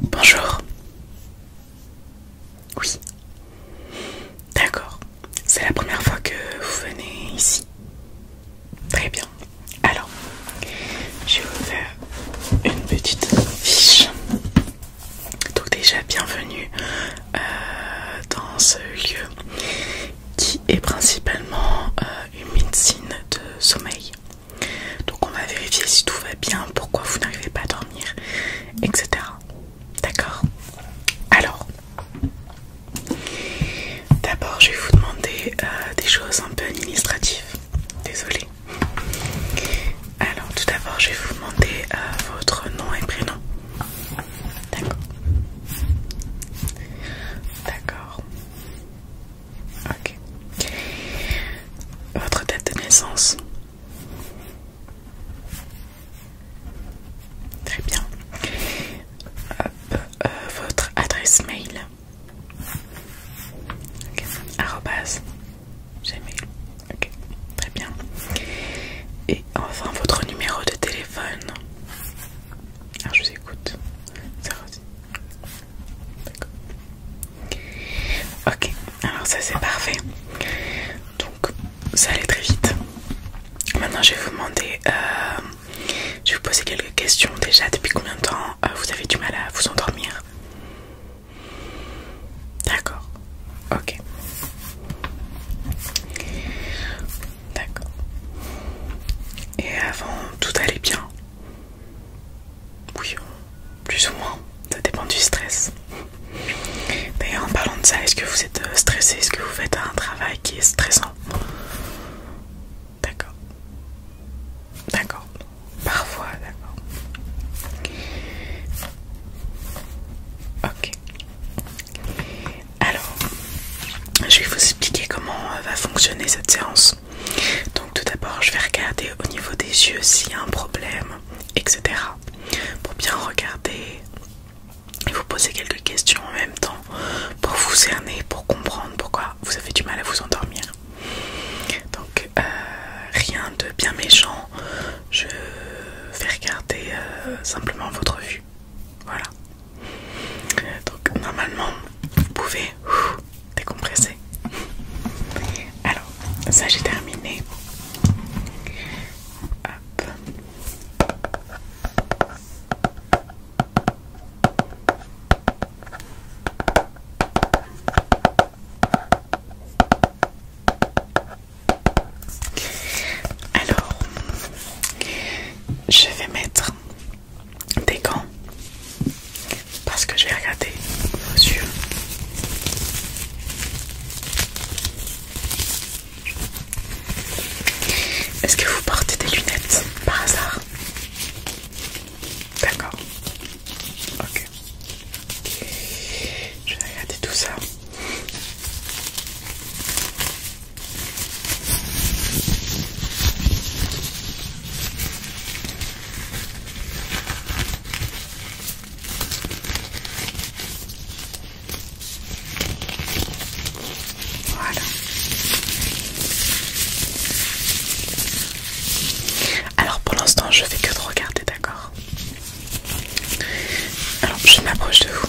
Bonjour. Oui. D'accord. C'est la première fois que vous venez ici. Très bien. Alors, je vais vous faire une petite fiche. Donc déjà, bienvenue euh, dans ce lieu qui est principalement... Euh, une médecine de sommeil. Donc on va vérifier si tout va bien, pourquoi vous n'arrivez pas à dormir, etc. D'accord Alors, d'abord je vais vous demander euh, des choses un peu administratives. Désolée. Alors tout d'abord je vais vous demander euh, votre nom et prénom. D'accord. D'accord. Ok. Votre date de naissance Très bien. Euh, euh, votre adresse mail Gmail. Ok, très bien. Et enfin votre numéro de téléphone alors ah, je vous écoute. D'accord. Ok, alors ça c'est parfait. Donc ça allait très vite. Maintenant je vais vous demander, euh, je vais vous poser quelques questions déjà. Depuis combien de temps euh, vous avez du mal à vous endormir D'accord, ok. D'accord. Et avant, tout allait bien Oui, plus ou moins, ça dépend du stress. D'ailleurs, en parlant de ça, est-ce que vous êtes euh, stressé Est-ce que vous faites un travail qui est stressant D'accord. D'accord. Parfois, d'accord. Ok. Alors, je vais vous expliquer comment euh, va fonctionner cette séance. Donc tout d'abord, je vais regarder au niveau des yeux s'il y a un problème, etc. Pour bien regarder et vous poser quelques questions en même temps pour vous cerner, pour comprendre pourquoi vous avez du mal à vous endormir. Donc euh, rien de bien méchant, je vais regarder euh, simplement votre vue. Voilà. Donc normalement, vous pouvez décompresser. Alors, ça j'ai terminé. Alors, je vais mettre des gants parce que je vais regarder vos yeux. Est-ce que vous portez des lunettes par hasard D'accord. Ok. Je vais regarder tout ça. Alors pour l'instant, je vais que de regarder, d'accord Alors je m'approche de vous.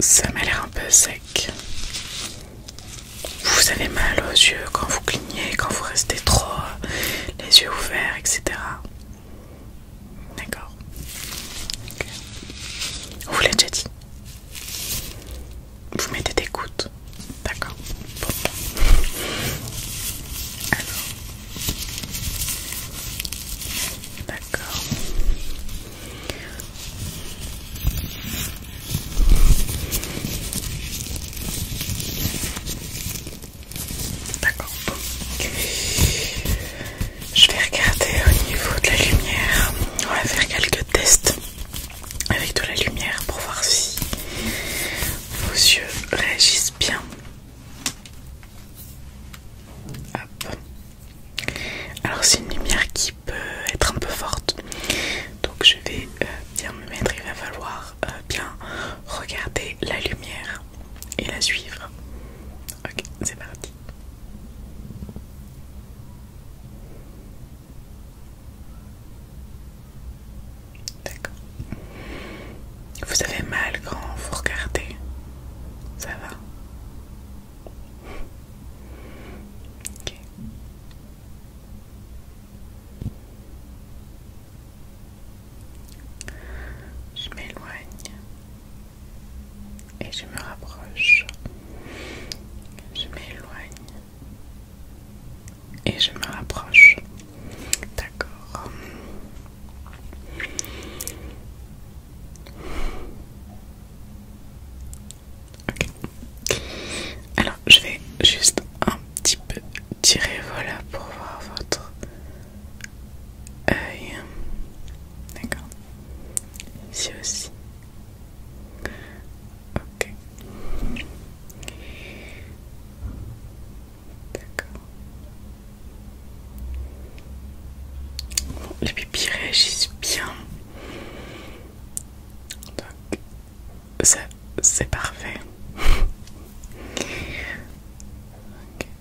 Ça m'a l'air un peu sec. Vous avez mal aux yeux quand vous clignez, quand vous restez trop les yeux ouverts, etc. D'accord. vous l'a déjà dit. Vous mettez des gouttes. D'accord. Alors. D'accord. D'accord, Je vais regarder au niveau de la lumière. On va faire quelques tests avec de la lumière pour voir si vos yeux réagissent bien. Alors c'est une lumière qui peut être un peu forte. Donc je vais euh, bien me mettre, il va falloir euh, bien regarder la lumière et la suivre. Ok, c'est parti. D'accord. Vous avez mal quand vous regardez. Ça va je m'éloigne et je me rapproche. Je m'éloigne et je me rapproche. D'accord. Alors, je vais juste un petit peu tirer, voilà, pour voir votre œil. D'accord. Ici aussi. Ok. D'accord les pipis réagissent bien. Donc, c'est parfait.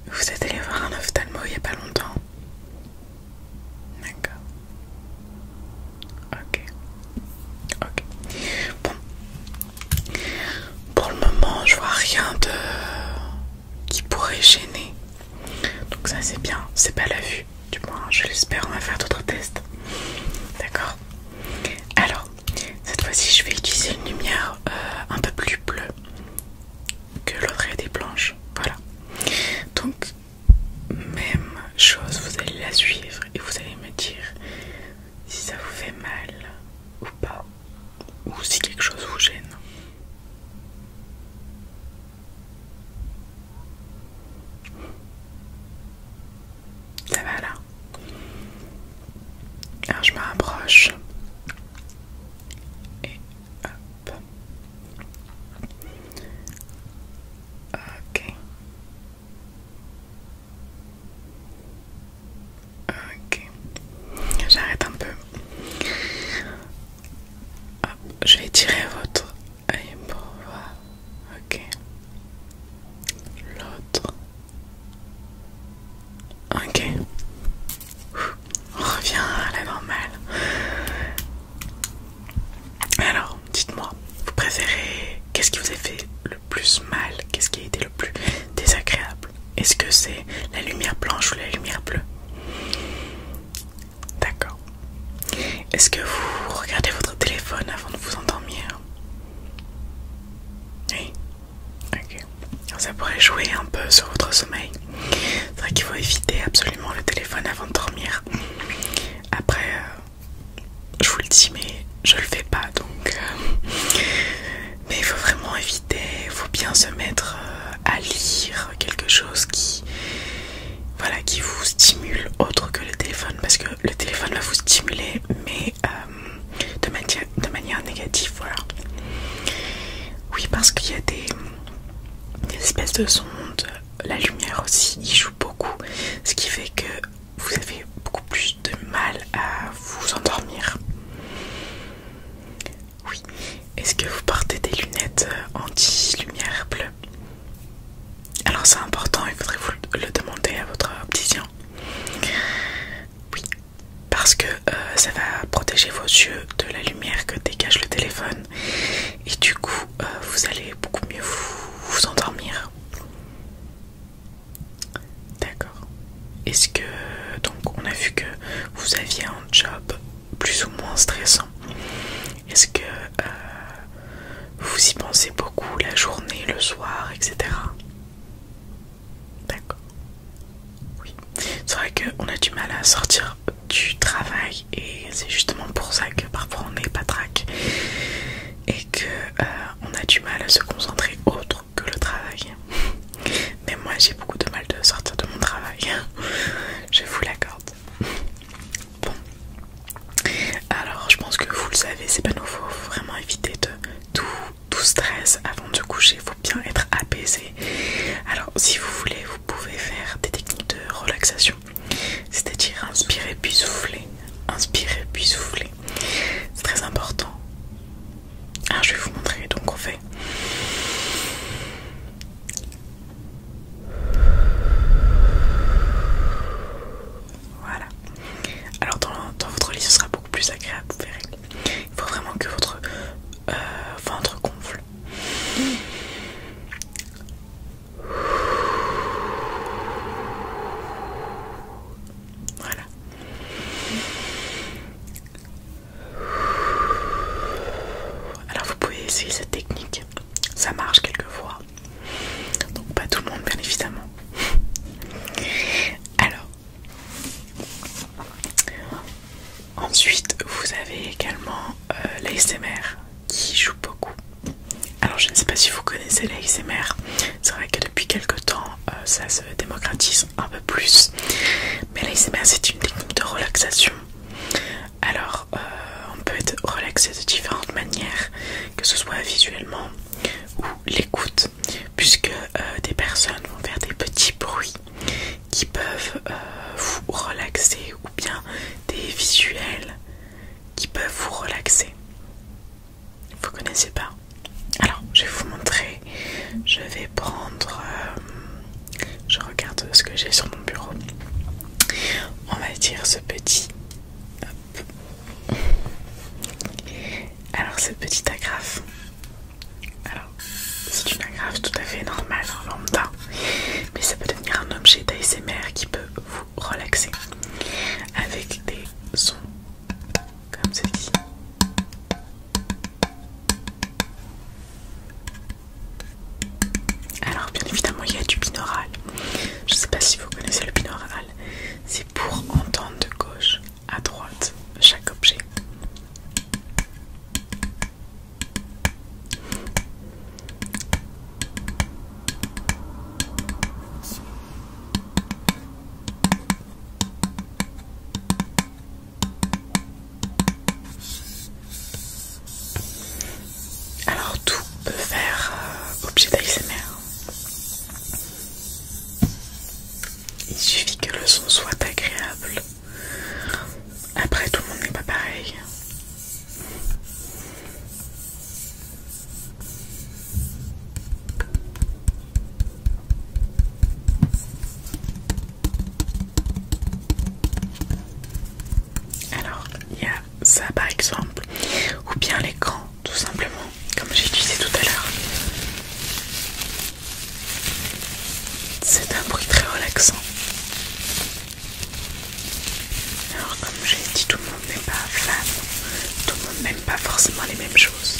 Vous êtes allé voir un ophtalmo il n'y a pas longtemps D'accord. Ok. Ok. Bon. Pour le moment, je vois rien de qui pourrait gêner. Donc ça c'est bien, c'est pas la vue, du moins je l'espère, on va faire d'autres tests. D'accord Alors, cette fois-ci je vais utiliser une lumière euh, un peu plus bleue que l'autre des blanche, Voilà. Donc, même chose, vous allez la suivre et vous allez me dire si ça vous fait mal ou pas ou si quelque chose vous gêne. Ça va là Alors je me rapproche et hop. Ok. Ok. J'arrête un peu je vais tirer votre œil pour voir. Ok. L'autre. Ok. On revient à la normale. Alors, dites-moi, vous préférez. Qu'est-ce qui vous a fait le plus mal Qu'est-ce qui a été le plus désagréable est-ce que c'est la lumière blanche ou la lumière bleue D'accord. Est-ce que vous regardez votre téléphone avant de vous endormir Oui Ok. ça pourrait jouer un peu sur votre sommeil. C'est vrai qu'il faut éviter absolument le téléphone avant de dormir. Après, euh, je vous le dis, mais je le fais pas donc. Euh, mais il faut vraiment éviter, il faut bien se mettre euh, à lire quelque chose qui voilà qui vous stimule autre que le téléphone parce que le téléphone va vous stimuler mais euh, de, manière de manière négative voilà oui parce qu'il y a des, espèces de sondes la lumière aussi il joue beaucoup ce qui fait que vous avez beaucoup plus de mal à vous endormir oui. Est-ce que vous portez des lunettes euh, anti-lumière bleue Alors c'est important, il faudrait vous le demander à votre opticien. Oui. Parce que euh, ça va protéger vos yeux de la lumière que dégage le téléphone. Et du coup, euh, vous allez beaucoup mieux vous endormir. D'accord. Est-ce que donc on a vu que vous aviez un job plus ou moins stressant. Est-ce que euh, vous y pensez beaucoup la journée, le soir, etc. D'accord. Oui. C'est vrai qu'on a du mal à sortir du travail et c'est justement pour ça que parfois on n'est pas trac et que euh, on a du mal à se concentrer autrement que le travail. Mais moi j'ai beaucoup de mal de sortir de mon travail, je vous l'accorde. Bon, alors je pense que vous le savez, c'est pas nouveau, faut vraiment éviter de tout, stress avant de coucher, il faut bien être apaisé. Alors si vous voulez, vous pouvez faire des techniques de relaxation, c'est-à-dire inspirer puis souffler, inspirer puis souffler. C'est très important alors ah, je vais vous montrer, donc on fait. Voilà. Alors dans, votre lit ce sera beaucoup plus agréable, vous verrez. Il faut vraiment que votre euh, ventre gonfle. Voilà. Alors vous pouvez essayer cette technique, ça marche quelquefois. Donc pas tout le monde bien évidemment. Alors ensuite vous avez également euh, l'ASMR qui joue beaucoup. Alors je ne sais pas si vous connaissez l'ASMR, c'est vrai que depuis quelques temps euh, ça se démocratise un peu plus. Mais l'ASMR c'est une technique de relaxation. Alors euh, on peut être relaxé de différentes manières, que ce soit visuellement ou l'écoute, puisque euh, des personnes vont faire des petits bruits qui peuvent euh, vous relaxer ou bien des visuels qui peuvent vous relaxer vous connaissez pas. Alors, je vais vous montrer. Je vais prendre. Euh, je regarde ce que j'ai sur mon bureau. On va dire ce petit. Alors, ce petit agrafe. Alors, c'est une agrafe tout à fait normale, lambda. Mais ça peut devenir un objet d'ASMR qui peut vous relaxer avec des sons comme celui Alors bien évidemment il y a du binaural. Je ne sais pas si vous connaissez le binaural. C'est pour entendre de gauche à droite chaque objet. Alors tout peut faire euh, objet d'ASMR. Il suffit que le son soit agréable. Après tout le monde n'est pas pareil. Alors, il y a ça par exemple, ou bien l'écran, tout simplement, comme j'ai utilisé tout à l'heure. C'est un bruit très relaxant. Alors, comme j'ai dit tout le monde, n'est pas fan, tout le monde n'aime pas forcément les mêmes choses.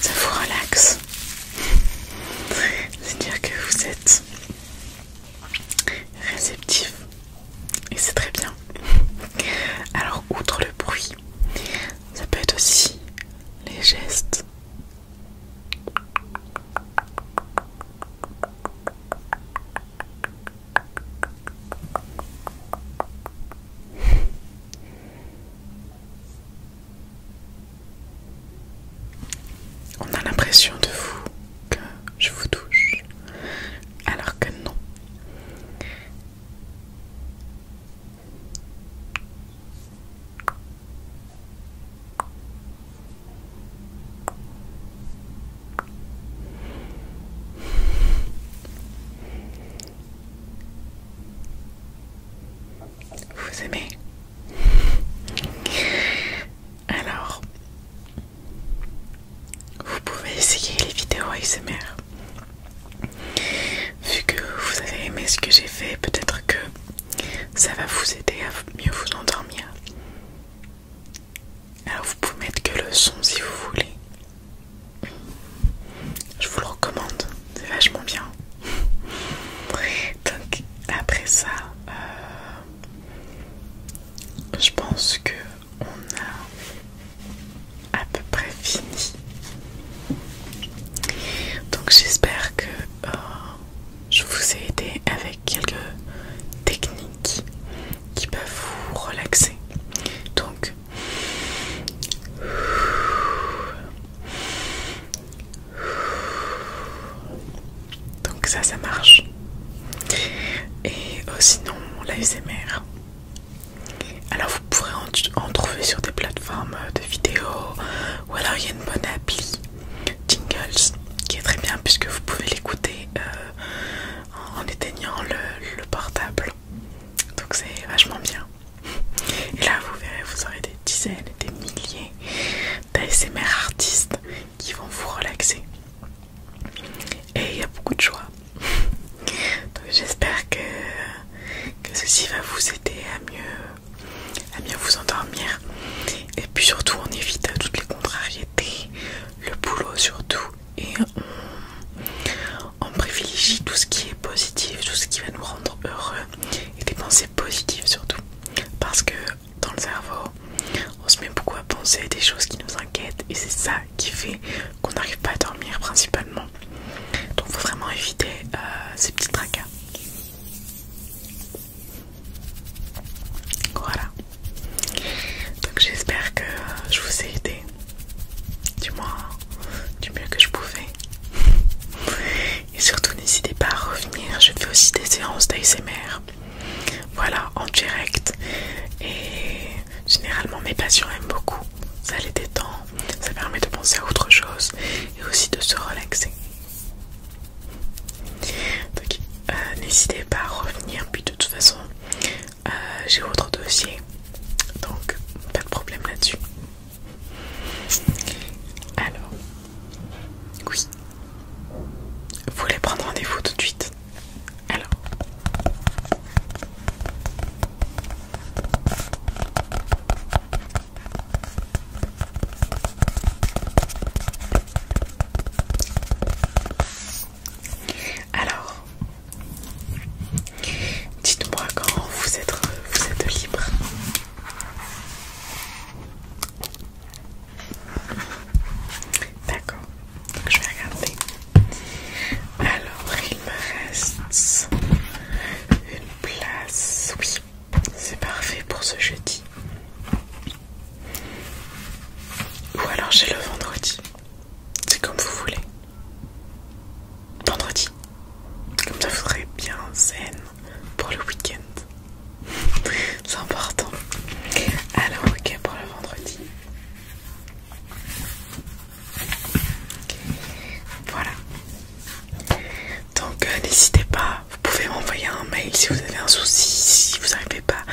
Ça vous relaxe. C'est-à-dire que vous êtes réceptif et c'est très bien. Alors outre le bruit, ça peut être aussi les gestes, on a l'impression de vous que je vous touche, alors que non. Vous aimez Alors, vous pouvez essayer les vidéos ASMR. Vu que vous avez aimé ce que j'ai fait, peut-être que ça va vous aider à mieux vous endormir. Alors vous pouvez mettre que le son si vous voulez. Je vous le recommande, c'est vachement bien. Donc après ça, euh, je pense que on a à peu près fini. Donc j'espère que euh, je vous ai aidé avec quelques techniques qui peuvent vous relaxer. Donc, ça, ça marche. Et sinon, l'ASMR. Alors, vous pourrez en trouver sur des plateformes de vidéos ou alors il y a une bonne appli Jingles qui est très bien puisque vous pouvez l'écouter euh, en éteignant le, portable donc c'est vachement bien et là vous verrez vous aurez des dizaines et des milliers d'ASMR artistes qui vont vous relaxer et il y a beaucoup de choix donc j'espère que ceci va vous aider à mieux à bien vous endormir. Et puis surtout, on évite toutes les contrariétés, le boulot surtout, et on, privilégie tout ce qui est positif, tout ce qui va nous rendre heureux, et des pensées positives surtout. Parce que dans le cerveau, on se met beaucoup à penser à des choses qui nous inquiètent, et c'est ça qui fait qu'on n'arrive pas à dormir principalement. Donc, faut vraiment éviter euh, ces petits tracas. Voilà. Donc j'espère que euh, je vous ai aidé. Du moins, du mieux que je pouvais. Et surtout, n'hésitez pas à revenir. Je fais aussi des séances d'ASMR. Voilà, en direct. Et généralement, mes patients aiment beaucoup. Ça les détend, ça permet de penser à autre chose et aussi de se relaxer. Donc euh, n'hésitez pas à revenir, puis de toute façon euh, j'ai votre dossier, donc pas de problème là-dessus. Alors, oui, vous voulez prendre rendez-vous tout de suite Alors. Alors, dites-moi quand vous êtes, vous êtes libre. D'accord, je vais regarder. Alors, il me reste une place, oui. C'est parfait pour ce jeudi. Ou alors j'ai le vendredi. C'est comme vous voulez. Vendredi. Comme ça vous serez bien zen pour le week-end. C'est important. Alors ok pour le vendredi. Voilà. Donc euh, n'hésitez pas, vous pouvez m'envoyer un mail si vous avez un souci, si vous n'arrivez pas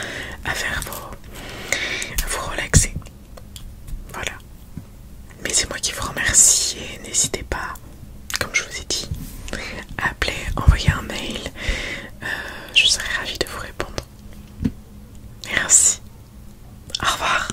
à faire vos, vous relaxer. Voilà. Mais c'est moi qui vous remercie et n'hésitez pas, comme je vous ai dit, à appeler, envoyer un mail. Euh, je serai ravie de vous répondre. Merci. Au revoir.